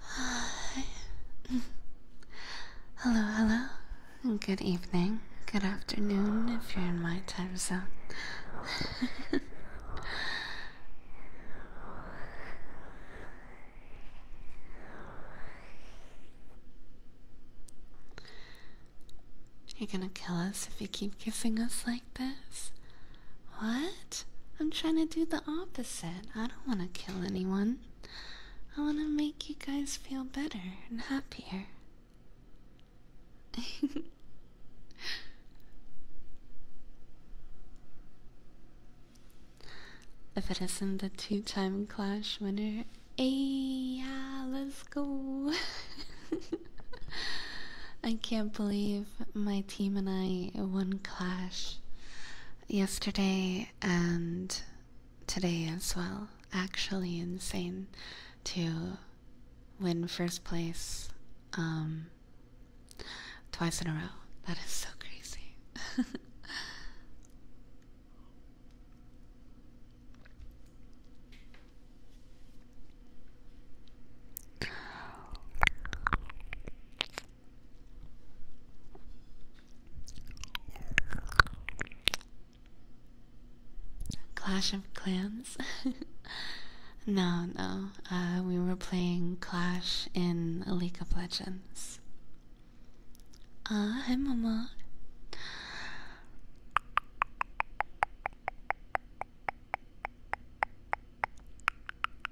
hello, hello. Good evening. Good afternoon if you're in my time zone. You're gonna kill us if you keep kissing us like this. What? I'm trying to do the opposite. I don't want to kill anyone. I want to make you guys feel better and happier. if it isn't the two time Clash winner, hey, yeah, let's go. I can't believe my team and I won Clash yesterday and today as well. Actually, insane to win first place um, twice in a row. That is so crazy. Clash of Clans? no, no. Uh, we were playing Clash in League of Legends. Ah, uh, hi, Mama.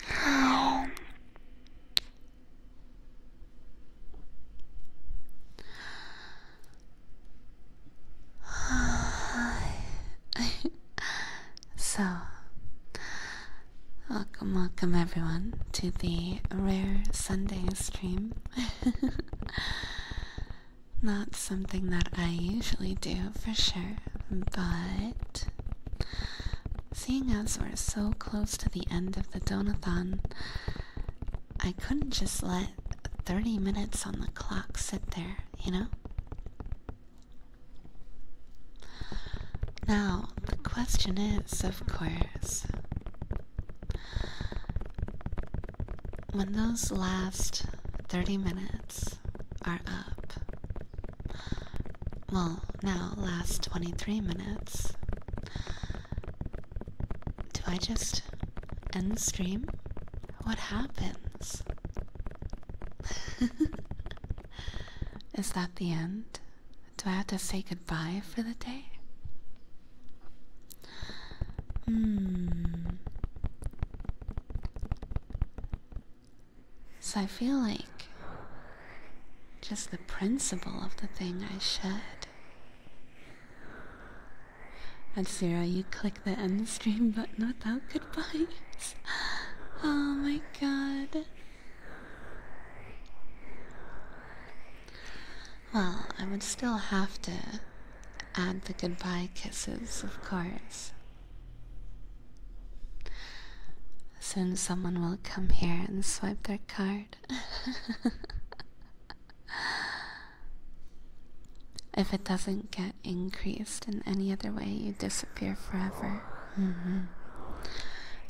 so, welcome, welcome everyone to the rare Sunday stream. Not something that I usually do for sure, but Seeing as we're so close to the end of the donathon, I couldn't just let 30 minutes on the clock sit there, you know? Now, the question is, of course, when those last 30 minutes are up, well, now last 23 minutes. Do I just end the stream? What happens? Is that the end? Do I have to say goodbye for the day? Hmm. So I feel like just the principle of the thing I should. And zero, you click the end stream button without goodbyes. Oh my god. Well, I would still have to add the goodbye kisses, of course. Soon someone will come here and swipe their card. if it doesn't get increased in any other way, you disappear forever. Mm-hmm.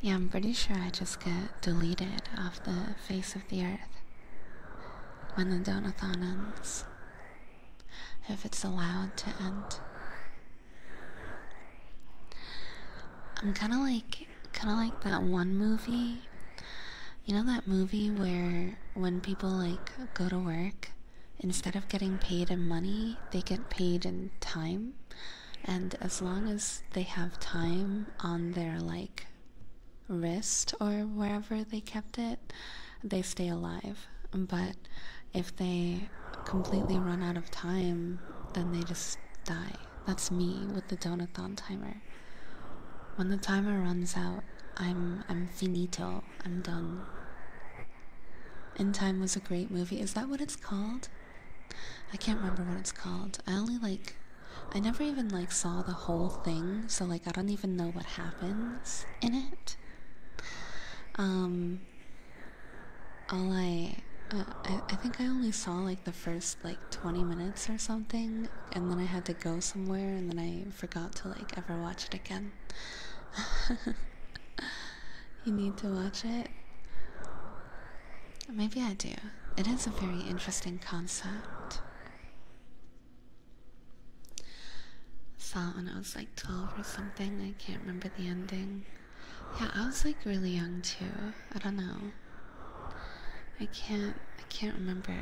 Yeah, I'm pretty sure I just get deleted off the face of the earth when the donathon ends. If it's allowed to end, I'm kind of like kind of like that one movie. You know that movie where when people like go to work, instead of getting paid in money, they get paid in time. And as long as they have time on their like wrist or wherever they kept it, they stay alive. But if they completely run out of time, then they just die. That's me with the donathon timer. When the timer runs out, I'm I'm finito. I'm done. In Time was a great movie. Is that what it's called? I can't remember what it's called. I only like I never even like saw the whole thing, so like I don't even know what happens in it. Um uh, I, I think I only saw like the first like 20 minutes or something and then I had to go somewhere and then I forgot to like ever watch it again. you need to watch it. Maybe I do. It is a very interesting concept. Saw it when I was like 12 or something. I can't remember the ending. Yeah, I was like really young too. I don't know. I can't I can't remember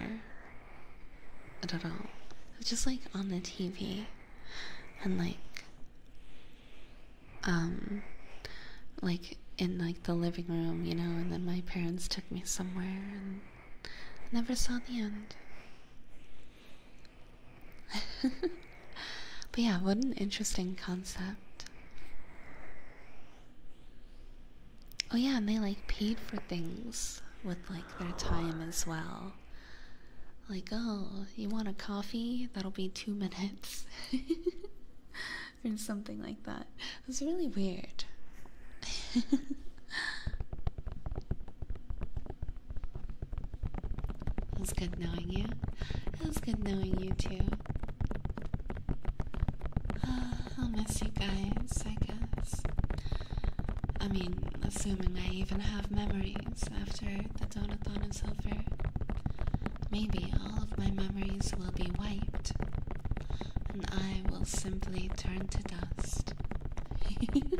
it at all. It was just like on the TV and like um like in like the living room, you know, and then my parents took me somewhere and never saw the end. But yeah, what an interesting concept. Oh yeah, and they like paid for things with like their time as well. Like, oh, you want a coffee? That'll be two minutes. or something like that. It was really weird. It was good knowing you. It was good knowing you too. I'll miss you guys, I guess. I mean, assuming I even have memories after the donut is silver. maybe all of my memories will be wiped, and I will simply turn to dust.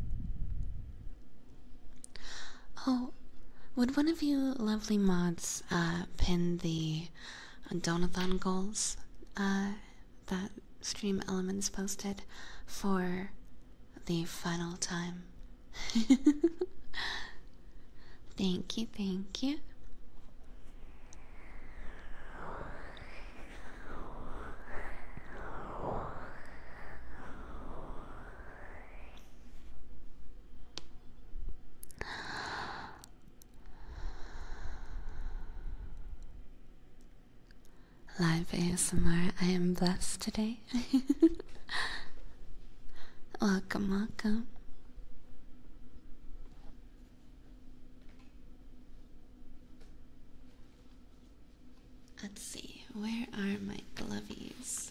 Oh, would one of you lovely mods uh, pin the Donathan goals uh, that Stream Elements posted for the final time? thank you, thank you. Live ASMR, I am blessed today. welcome, welcome. Let's see, where are my glovies?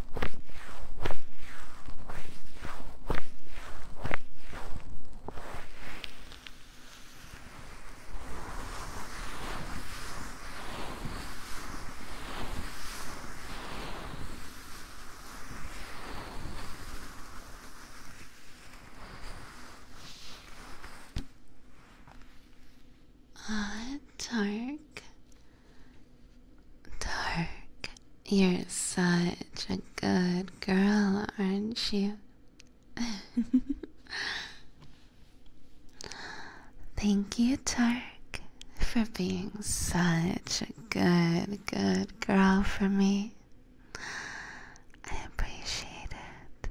Ah, dark, Dark, you're such a good girl, aren't you? Thank you, Dark, for being such a good, good girl for me. I appreciate it.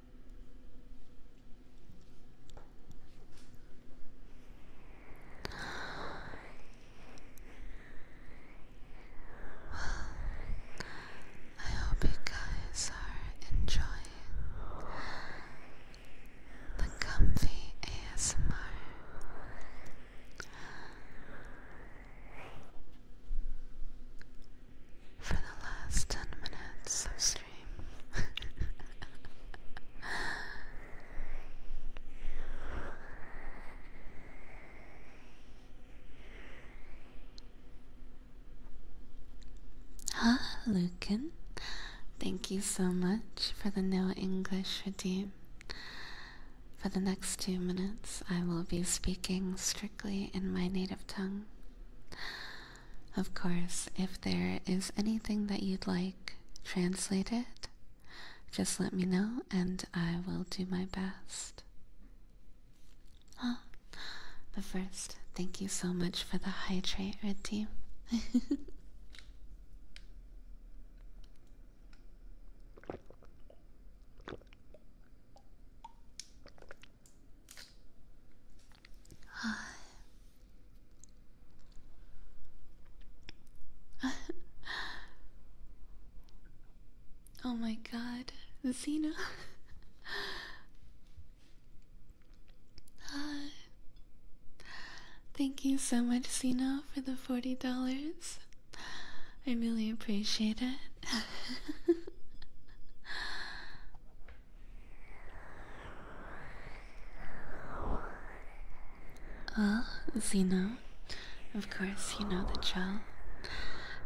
Well, I hope you guys are enjoying the comfy ASMR. For the last 10 minutes ah, Lucan, thank you so much for the no English redeem. For the next two minutes, I will be speaking strictly in my native tongue. Of course, if there is anything that you'd like translated, just let me know and I will do my best. Oh, but first, thank you so much for the hydrate, Red Team. oh my god, Xena. Thank you so much, Xena, for the $40. I really appreciate it. Well, Zeno, of course you know the drill.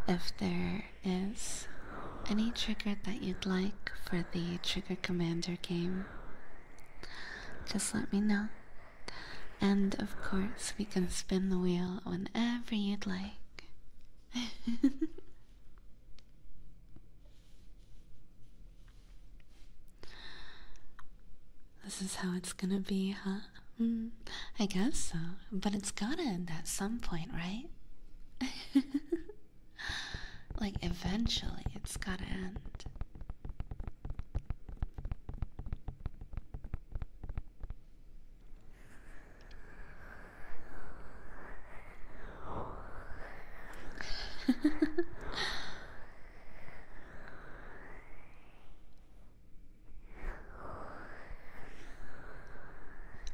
If there is any trigger that you'd like for the Trigger Commander game, just let me know. And of course, we can spin the wheel whenever you'd like. This is how it's gonna be, huh? Hmm, I guess so, but it's going to end at some point, right? like, eventually, it's gotta end.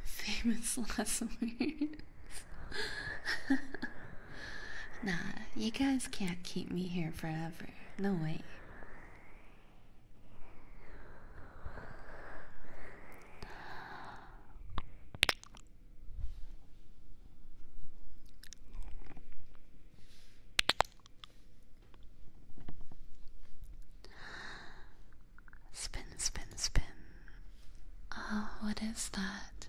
Famous last words. nah, you guys can't keep me here forever. No way. Spin, spin, spin. Oh, what is that?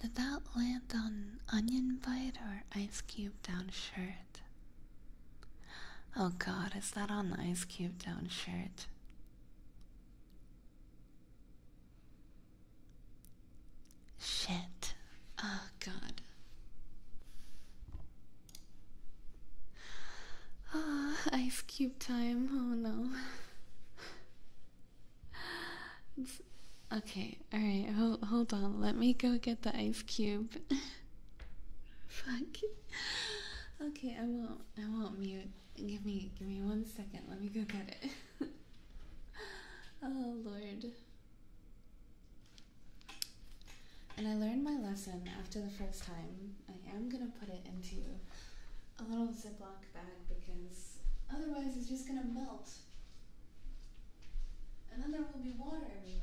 Did that land on onion bite or ice cube down shirt? Oh god, is that on the ice cube down shirt? Shit. Oh, God. Oh, ice cube time. Oh, no. okay, alright, hold, hold on. Let me go get the ice cube. Fuck. Okay, I won't. I won't mute. Give me, give me one second. Let me go get it. oh Lord. And I learned my lesson after the first time. I am gonna put it into a little Ziploc bag because otherwise it's just gonna melt. And then there will be water everywhere.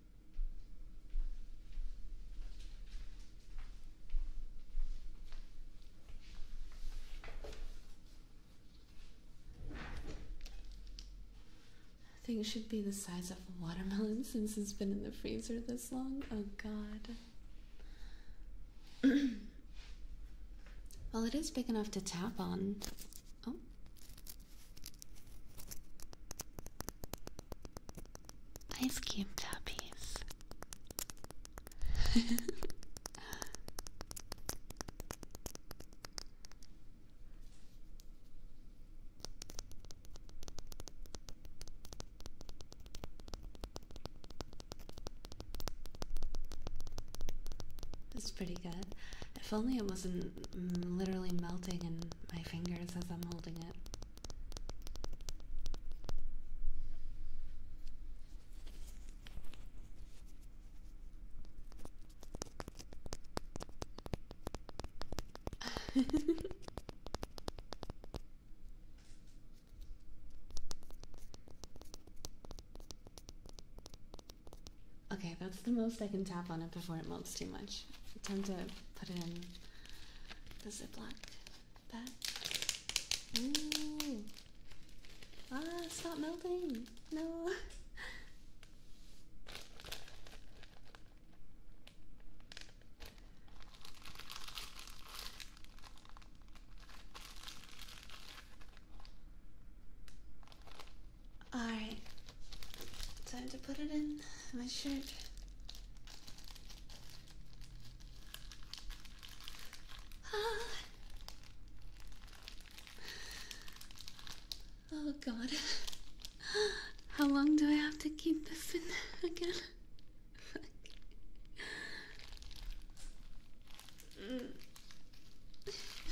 I think it should be the size of a watermelon since it's been in the freezer this long. Oh god. well, it is big enough to tap on. Oh. Ice cube puppies. It's pretty good. If only it wasn't mm, literally melting in my fingers as I'm holding it. okay, that's the most I can tap on it before it melts too much. I tend to put it in the Ziploc. Ah, stop melting. No. Alright, time to put it in my shirt. Ah. Oh god. How long do I have to keep this in again?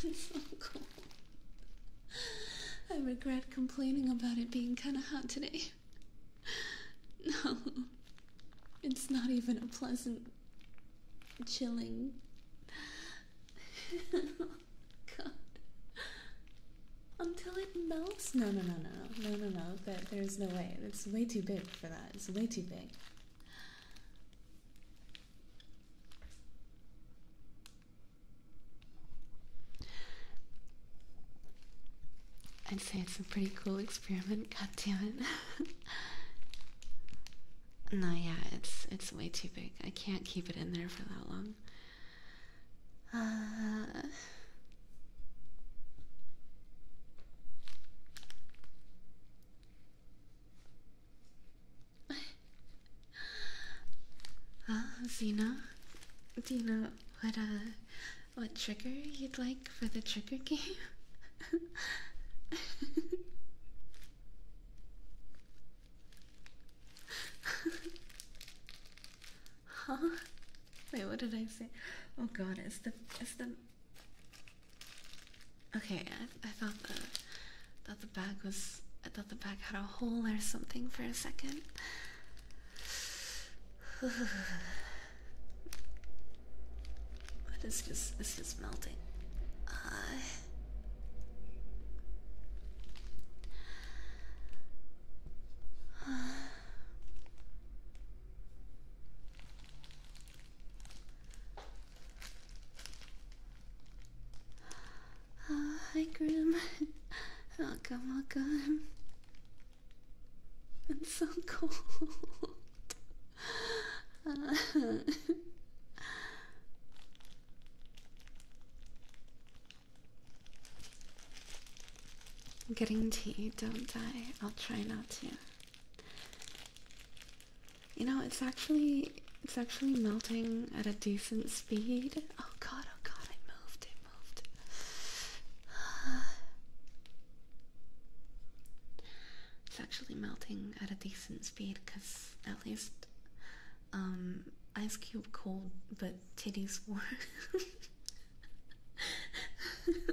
it's so cold. I regret complaining about it being kinda hot today. no, it's not even a pleasant, chilling. God. Until it melts? No, no, no, no, no, no, no. But there's no way. It's way too big for that. It's way too big. I'd say it's a pretty cool experiment, god damn it. no, yeah, it's it's way too big. I can't keep it in there for that long. Uh Ah, Zena, what uh, what trigger you'd like for the trigger game? huh? Wait, what did I say? Oh god, it's the it's the Okay, I, I thought the thought the bag was I thought the bag had a hole or something for a second but it's just it's just melting. Uh, uh, hi, Grim. welcome, oh, welcome. It's so cold. I'm getting tea, don't die. I'll try not to. You know, it's actually it's actually melting at a decent speed. Oh god, oh god, I moved it. It's actually melting at a decent speed because at least um, Ice Cube cold, but titties warm.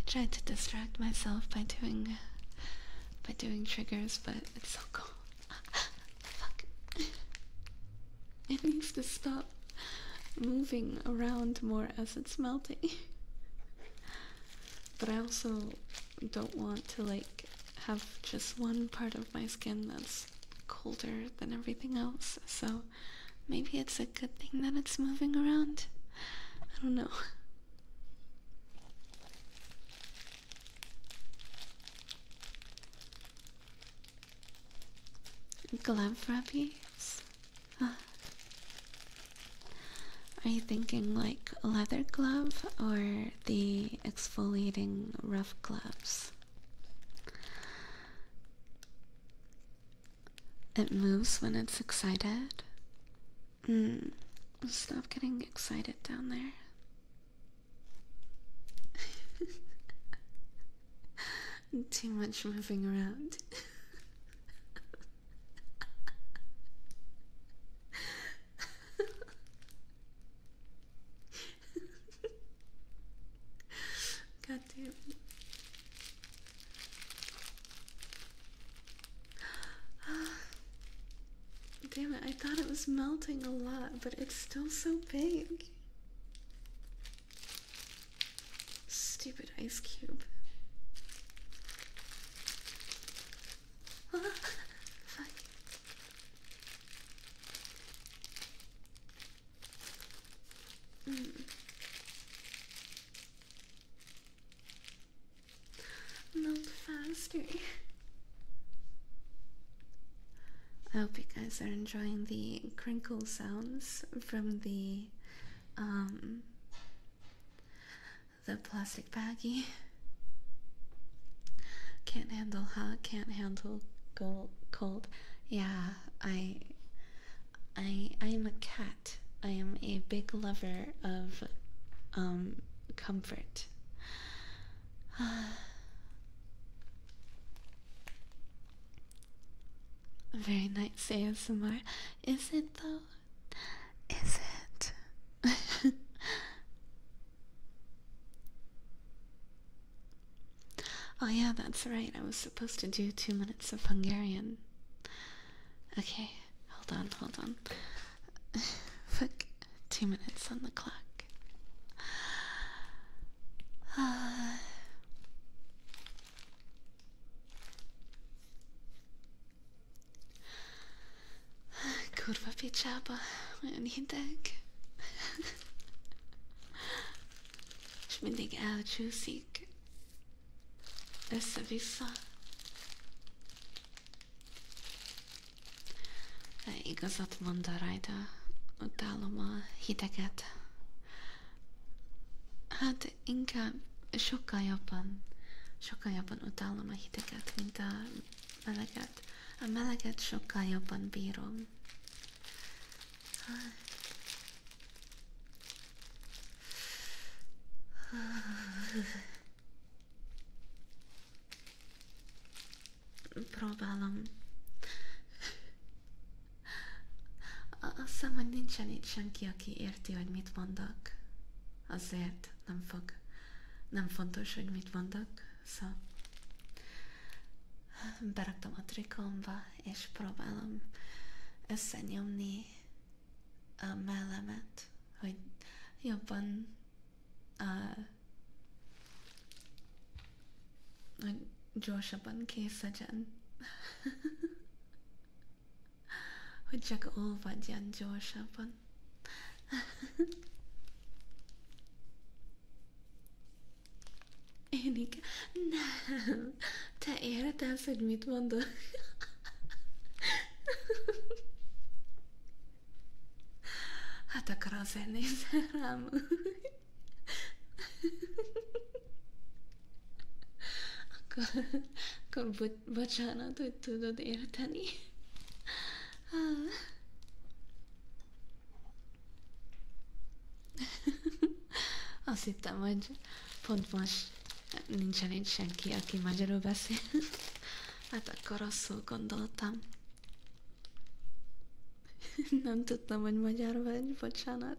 I tried to distract myself by doing by doing triggers, but it's so cold. Fuck. It needs to stop moving around more as it's melting. but I also don't want to like have just one part of my skin that's colder than everything else. So maybe it's a good thing that it's moving around. I don't know. Glove rubies? Are you thinking like leather glove or the exfoliating rough gloves? It moves when it's excited. Mm. Stop getting excited down there. Too much moving around. God damn it. Damn it, I thought it was melting a lot, but it's still so big. Stupid ice cube. Ah, hmm. Melt faster. I hope you guys are enjoying the crinkle sounds from the um, the plastic baggy Can't handle hot, can't handle cold. Yeah, I, I, I am a cat. I am a big lover of, um, comfort. Very nice ASMR. Is it though? Is it? oh, yeah, that's right. I was supposed to do two minutes of Hungarian. Okay, hold on, hold on. two minutes on the clock. Uh, Kurva picsába, olyan hideg. És mindig elcsúszik. Össze-vissza. De igazat mond a rajta, utálom a hideget. Hát inkább sokkal jobban, sokkal jobban utálom a hideket, mint a meleget. A meleget sokkal jobban bírom. Próbálom azt hiszem, hogy nincsen itt senki, aki érti, hogy mit mondok. Azért nem fog. Nem fontos, hogy mit mondok, szóval beraktam a trikomba, és próbálom összenyomni a mellemet, hogy jobban, uh, hogy gyorsabban készedjen. hogy csak óvadjan gyorsabban. Én igen. Nem. Te érted, hogy mit mondok? Hát akkor azért nézel rám akkor, akkor bo bocsánat, hogy tudod érteni. Ah. Azt hittem, hogy pont most nincsen itt senki, aki magyarul beszél. Hát akkor rosszul gondoltam. Nem tudtam, hogy magyar vagy, bocsánat.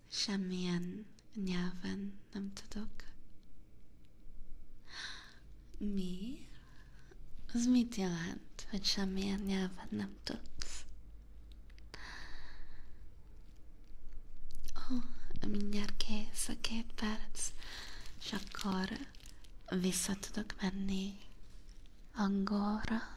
semmilyen nyelven nem tudok. Mi? Az mit jelent, hogy semmilyen nyelven nem tudsz? Ó, oh, mindjárt kész a két perc, és akkor vissza tudok menni angolra.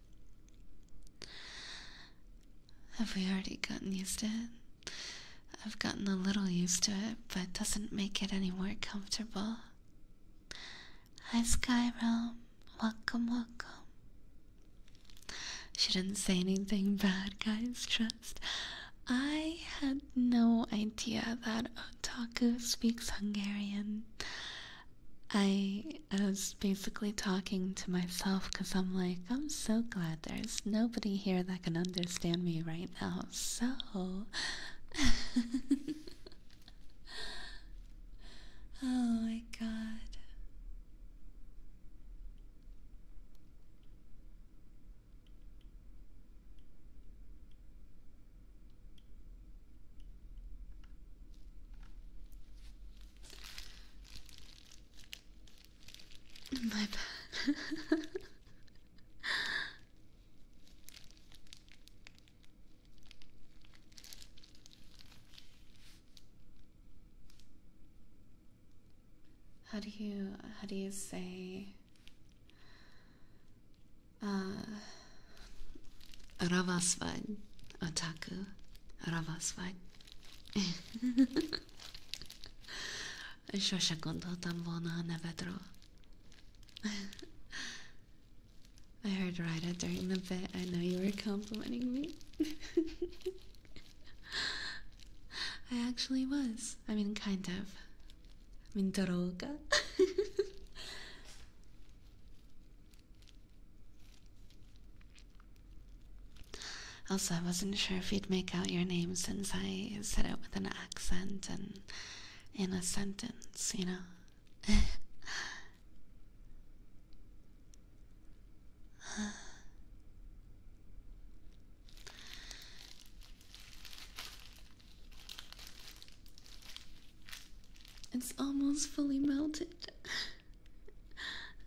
Have we already gotten used to it? I've gotten a little used to it, but it doesn't make it any more comfortable. Hi, Skyrim. Welcome, welcome. She didn't say anything bad, guys, trust. I had no idea that otaku speaks Hungarian. I was basically talking to myself because I'm like, I'm so glad there's nobody here that can understand me right now. So Oh my god. My bad. how do you how do you say uh Ravasvad Otaku. Ravasvad. Sose gondoltam volna a nevedről. I heard Ryda during the bit. I know you were complimenting me. I actually was. I mean, kind of. I mean, Doroga. Also, I wasn't sure if you'd make out your name since I said it with an accent and in a sentence, you know? It's almost fully melted.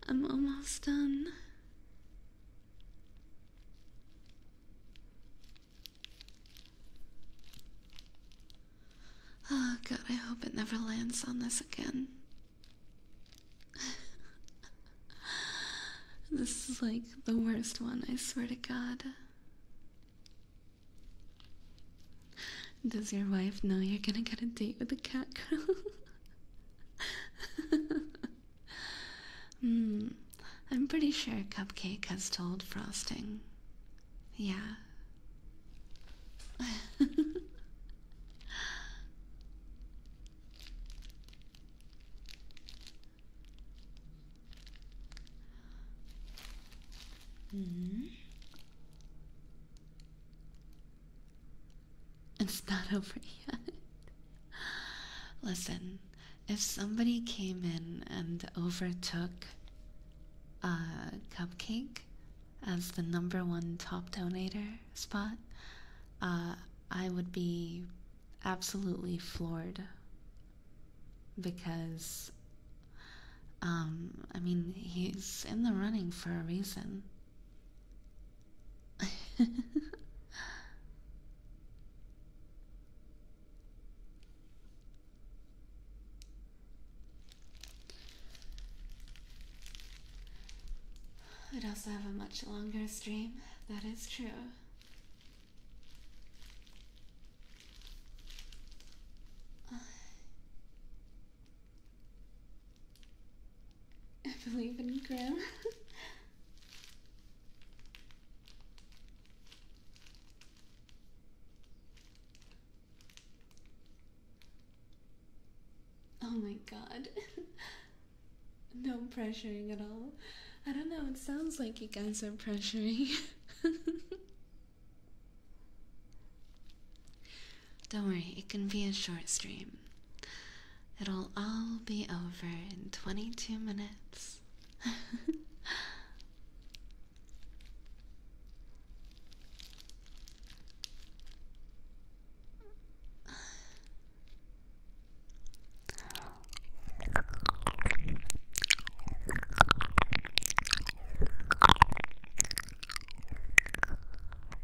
I'm almost done. Oh god, I hope it never lands on this again. this is like the worst one, I swear to god. Does your wife know you're gonna get a date with a cat girl? Hmm, I'm pretty sure Cupcake has told Frosting. Yeah. -hmm. It's not over yet. Listen, if somebody came in and overtook Cupcake as the number one top donator spot, uh, I would be absolutely floored because um, I mean, he's in the running for a reason. I'd also have a much longer stream, that is true. I believe in Grim. oh my god. no pressuring at all. I don't know, it sounds like you guys are pressuring. Don't worry, it can be a short stream. It'll all be over in 22 minutes.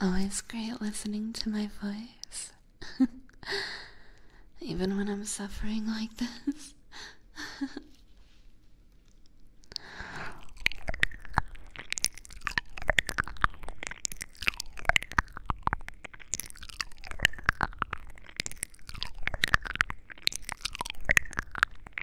Always oh, great listening to my voice. Even when I'm suffering like this.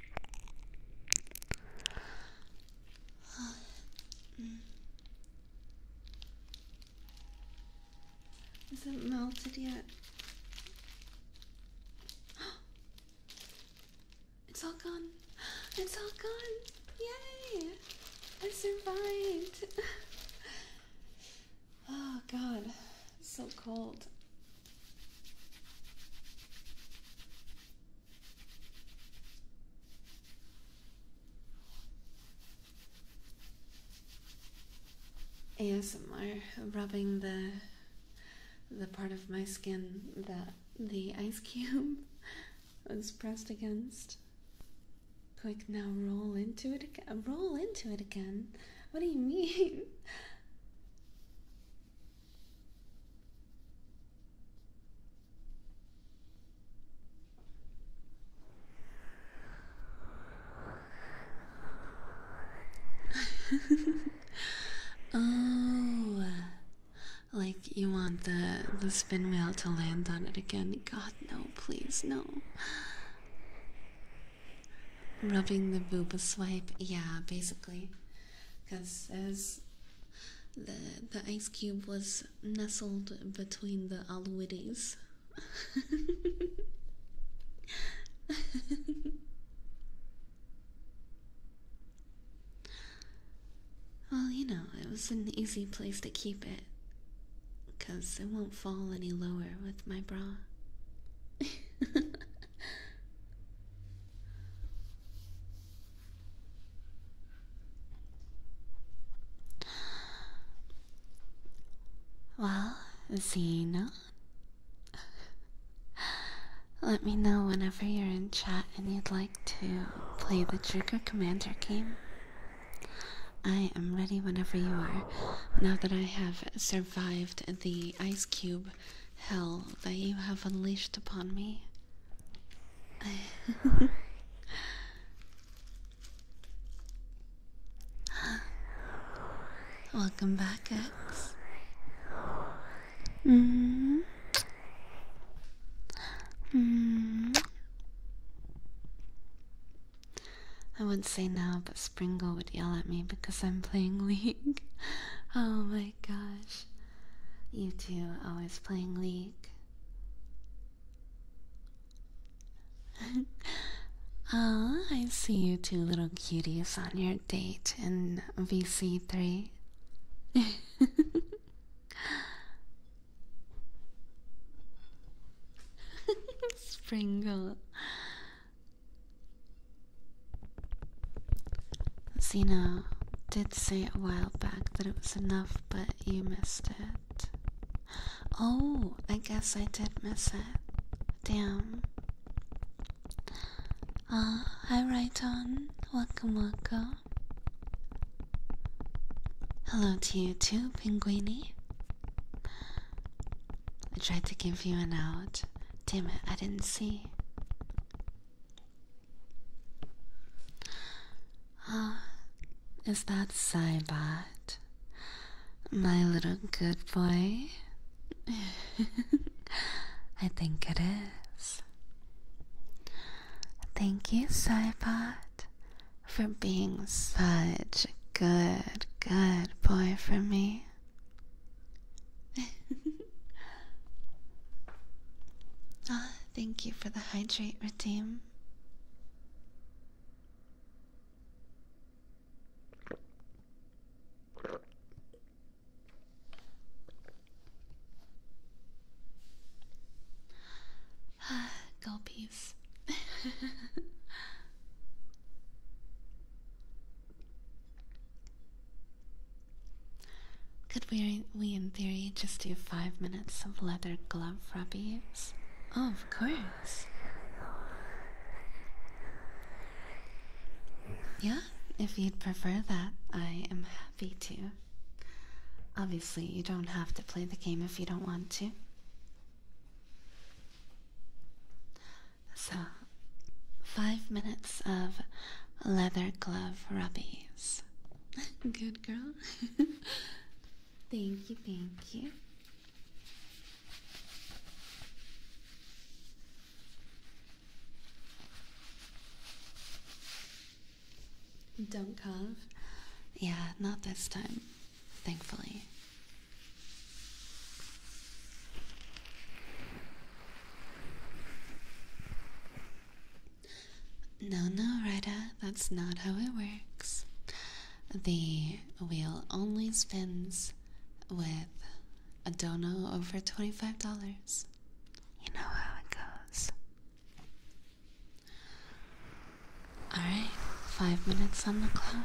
Is it melted yet? It's all gone. It's all gone. Yay! I survived. oh god, it's so cold. I'm rubbing the the part of my skin that the ice cube was pressed against. Quick now roll into it again roll into it again. What do you mean? oh, like you want the the spin wheel to land on it again? God, no, please, no. Rubbing the booba swipe, yeah, basically because as the the ice cube was nestled between the aluides. well, you know, it was an easy place to keep it. Because it won't fall any lower with my bra. well, Xena, let me know whenever you're in chat and you'd like to play the Trigger Commander game. I am ready whenever you are. Now that I have survived the ice cube hell that you have unleashed upon me. Welcome back, X. Mm. Mm. I would say now, but Springle would yell at me because I'm playing League. Oh my gosh. You two always playing League. Ah, I see you two little cuties on your date in VC3. Springle. Xena did say a while back that it was enough, but you missed it. Oh, I guess I did miss it. Damn. Ah, uh, hi Raiton. Welcome, welcome. Hello to you too, Pinguini. I tried to give you an out. Damn it, I didn't see. Ah, is that Cybot, my little good boy? I think it is. Thank you, Cybot, for being such a good, good boy for me. ah, thank you for the hydrate redeem. Ah, go Could we, we in theory, just do five minutes of leather glove rubbies? Oh, of course. Yeah, if you'd prefer that, I am happy to. Obviously, you don't have to play the game if you don't want to. So, five minutes of leather glove rubbies. Good girl. thank you, thank you. Don't cough. Yeah, not this time, thankfully. No, no, Rita, that's not how it works. The wheel only spins with a dono over $25. You know how it goes. Alright, five minutes on the clock.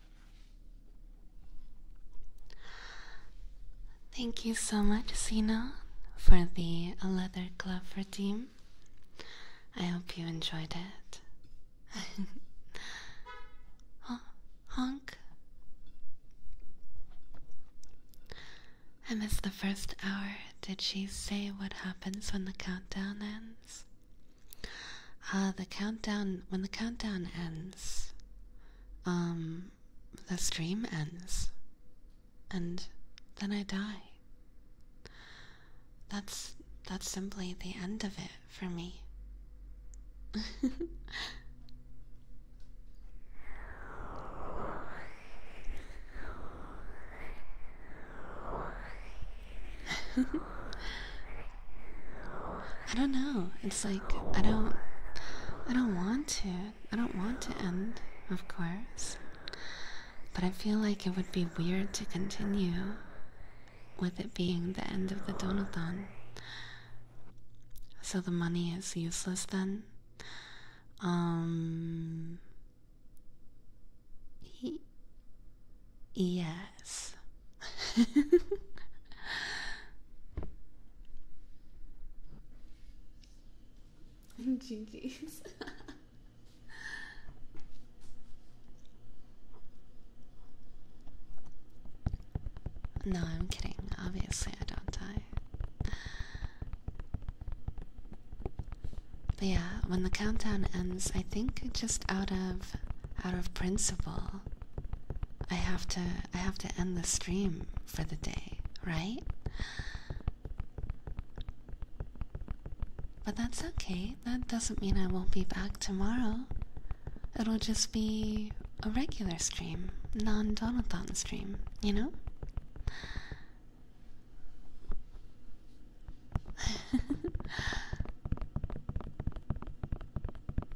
Thank you so much, Sina, for the leather glove redeem. I hope you enjoyed it. Hon honk. I missed the first hour. Did she say what happens when the countdown ends? Ah, the countdown, when the countdown ends, um, the stream ends, and then I die. That's that's simply the end of it for me. I don't know. It's like I don't I don't want to. I don't want to end, of course. But I feel like it would be weird to continue with it being the end of the Donathan. So the money is useless then. Um Yes. GG's. no, I'm kidding. Obviously, I don't die. But yeah, when the countdown ends, I think just out of out of principle, I have to I have to end the stream for the day, right? But that's okay. That doesn't mean I won't be back tomorrow. It'll just be a regular stream, non-Donathon stream, you know?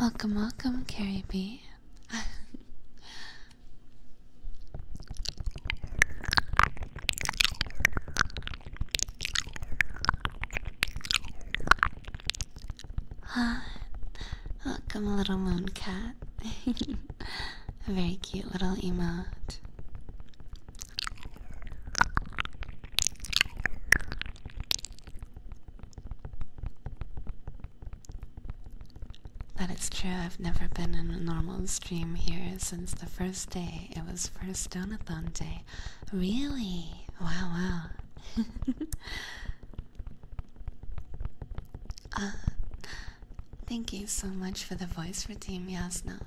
Welcome, welcome, Carrie B. ah, welcome, little moon cat. A very cute little emote. That is true, I've never been in a normal stream here since the first day. It was first Donathon day. Really? Wow, wow. uh, thank you so much for the voice for Team Yasna.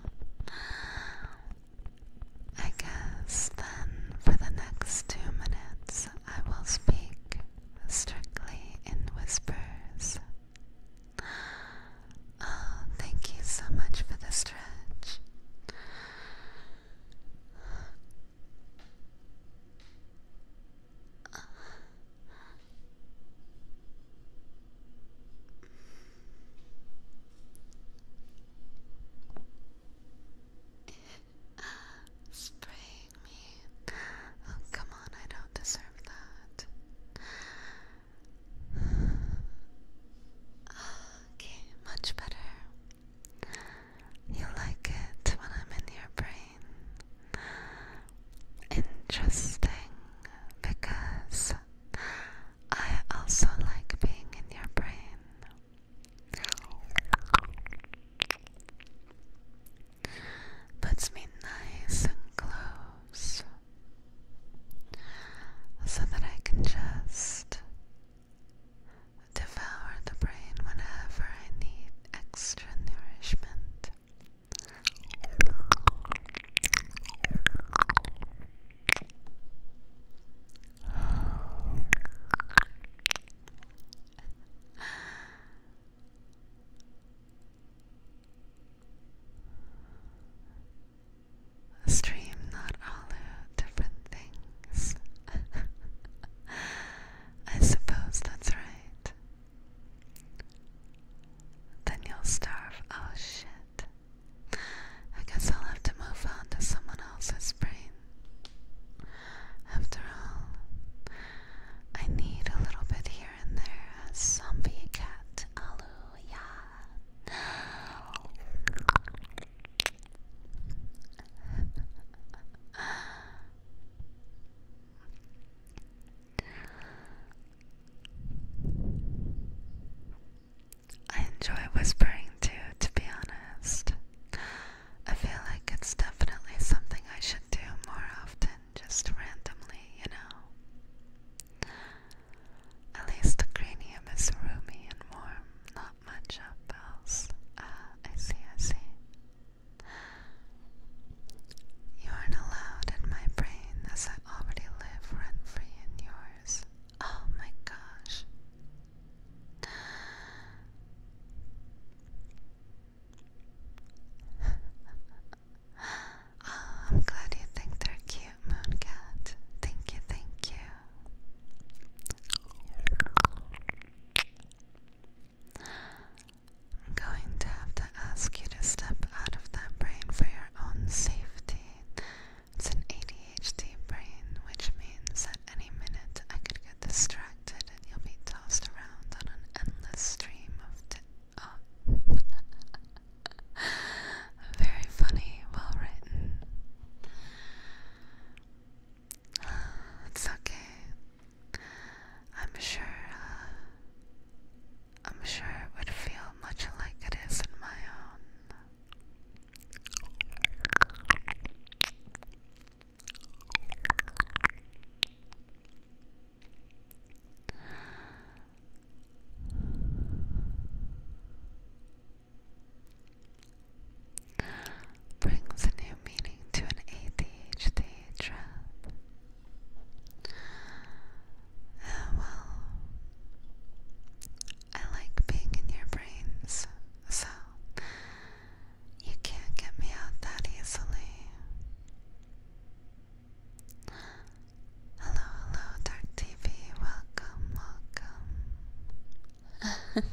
I guess then for the next two minutes I will speak strictly in whispers. Oh, thank you so much for the stretch. Spraying me. Oh, come on, I don't deserve that. Okay, much better. You like it when I'm in your brain. Interesting, because I also like being in your brain. Puts me nice and close so that I can just devour the brain whenever I need extra nourishment. Stream not all different things. I suppose that's right. Then you'll starve. Oh shit. I guess I'll have to move on to someone else's brain. After all, I need a little bit here and there as zombie cat. Hallelujah. I enjoy whispering too, to be honest. I feel like it's definitely something I should do more often, just randomly, you know. At least the cranium is roomy and warm, not much else. Ah, I see, I see. You aren't allowed in my brain as I already live rent free in yours. Oh my gosh. Oh, I'm glad you think they're cute, Mooncat. Thank you, thank you. I'm going to have to ask you to step out of that brain for your own safety. It's an ADHD brain, which means at any minute I could get distracted and you'll be tossed around on an endless stream of. Oh. Very funny, well written. It's okay. I'm sure. Uh, I'm sure it would feel much like it is in my own. Brings a new meaning to an ADHD trap. Uh, well, I like being in your brains, so you can't get me out that easily. Hello, hello, Dark TV. Welcome, welcome.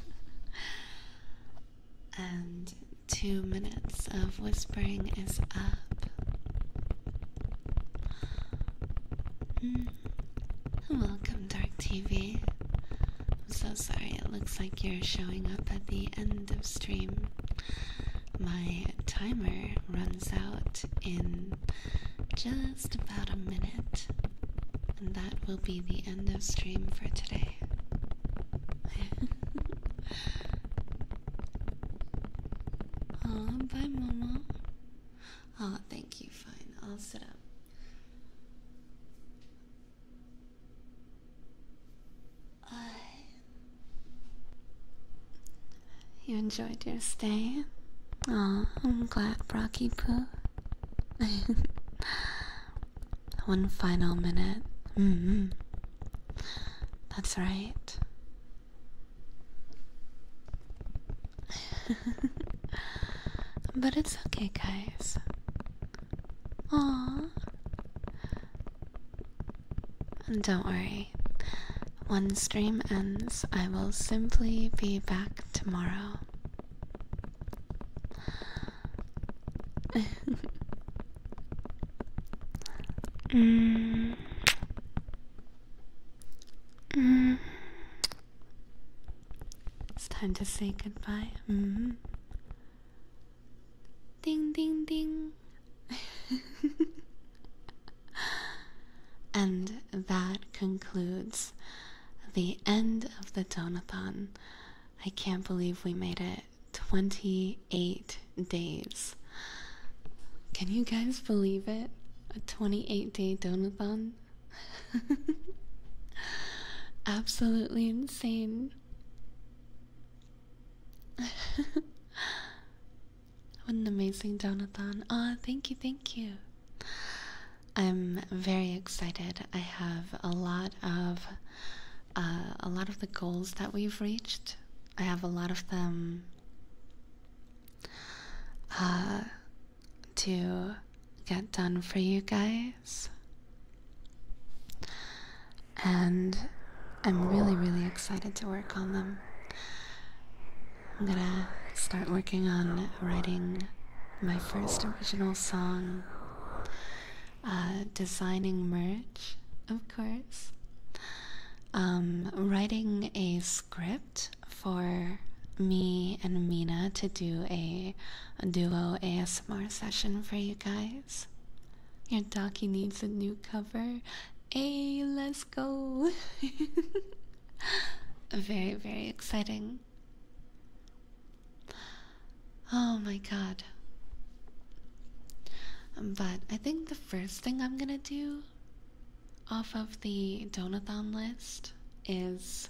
and two minutes of whispering is up. Hmm. Welcome, Dark TV. I'm so sorry, it looks like you're showing up at the end of stream. My timer runs out in just about a minute, and that will be the end of stream for today. Aw, bye, Mama. Aw, thank you, fine. I'll sit up. Uh, you enjoyed your stay? Aw, I'm glad Brocky Poo. One final minute. Mm-hmm. That's right. But it's okay, guys. and Don't worry. One stream ends, I will simply be back tomorrow. mm. Mm. It's time to say goodbye. Mm-hmm. Ding ding ding. and that concludes the end of the Donathon. I can't believe we made it 28 days. Can you guys believe it? A 28 day Donathon? Absolutely insane. what an amazing Jonathan. Aw, thank you, thank you. I'm very excited. I have a lot of uh, a lot of the goals that we've reached. I have a lot of them uh, to get done for you guys. And I'm really, really excited to work on them. I'm gonna start working on writing my first original song, uh, designing merch, of course, um, writing a script for me and Mina to do a a duo ASMR session for you guys. Your doggy needs a new cover. Hey, let's go! very, very exciting. Oh my god. But I think the first thing I'm gonna do off of the Donathon list is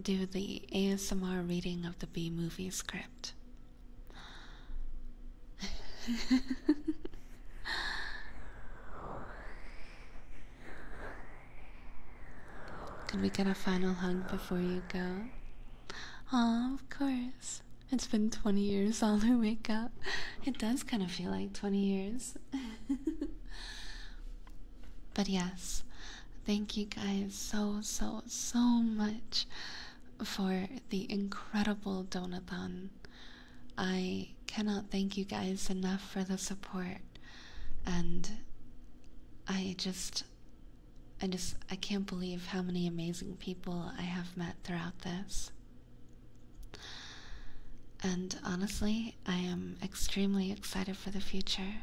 do the ASMR reading of the B movie script. Could we get a final hug before you go? of course. It's been 20 years all the wake up. It does kind of feel like 20 years. but yes, Thank you guys so, so, so much for the incredible donathon. I cannot thank you guys enough for the support. And I just, I just, I can't believe how many amazing people I have met throughout this. And honestly, I am extremely excited for the future.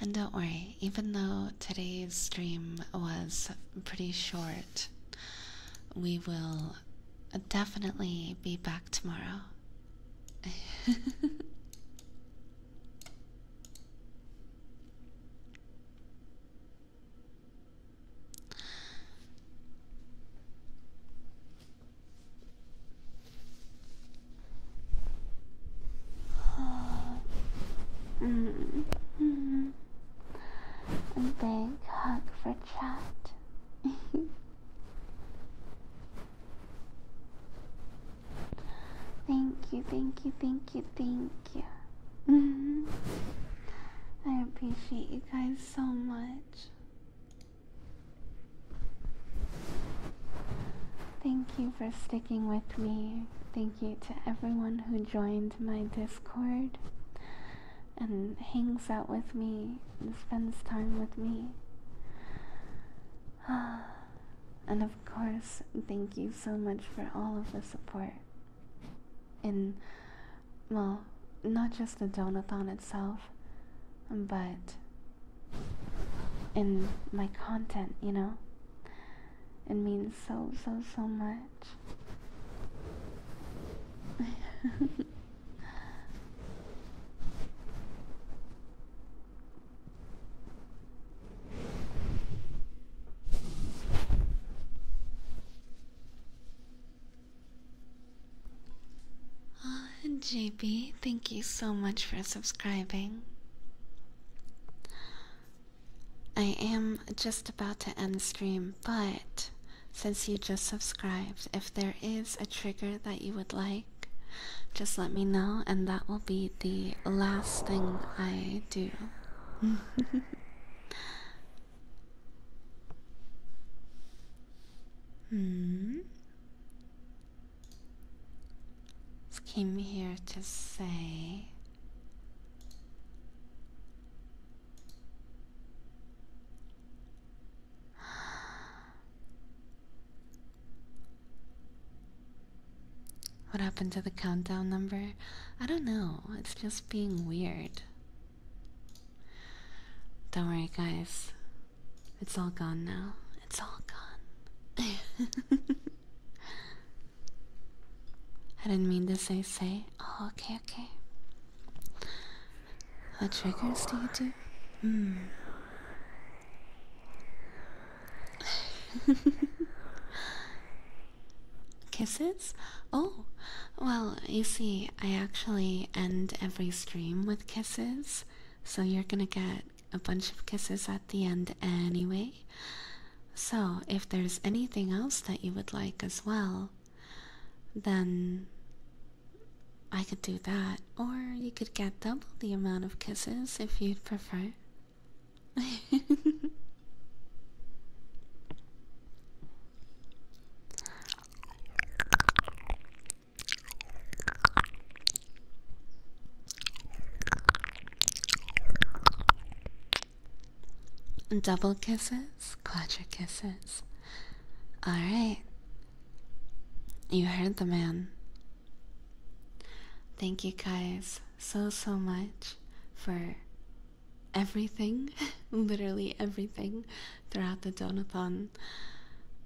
And don't worry, even though today's stream was pretty short, we will definitely be back tomorrow. Mm -hmm. A big hug for chat. thank you, thank you, thank you, thank you. -hmm. I appreciate you guys so much. Thank you for sticking with me. Thank you to everyone who joined my Discord and hangs out with me and spends time with me. And of course, thank you so much for all of the support. In, well, not just the donathon itself, but in my content, you know? It means so, so, so much. JB, thank you so much for subscribing. I am just about to end the stream, but since you just subscribed, if there is a trigger that you would like, just let me know, and that will be the last thing I do. hmm. Came here to say what happened to the countdown number? I don't know. It's just being weird. Don't worry, guys. It's all gone now. It's all gone. I didn't mean to say say. Oh, okay, okay. What triggers do you do? Hmm. Kisses? Oh, well, you see, I actually end every stream with kisses, so you're gonna get a bunch of kisses at the end anyway. So, if there's anything else that you would like as well, then I could do that. Or you could get double the amount of kisses if you'd prefer. Double kisses, clutcher kisses. Alright. You heard the man. Thank you guys so, so much for everything, literally everything, throughout the donathon.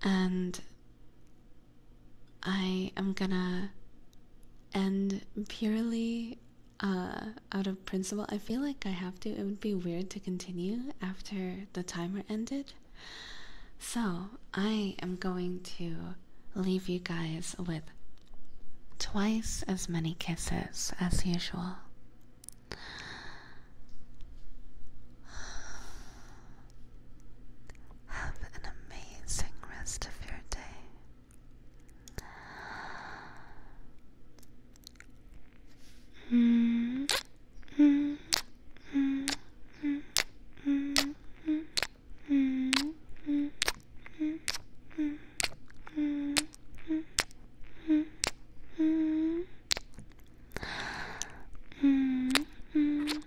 And I am gonna end purely uh, out of principle. I feel like I have to. It would be weird to continue after the timer ended. So I am going to leave you guys with twice as many kisses as usual. Have an amazing rest of your day.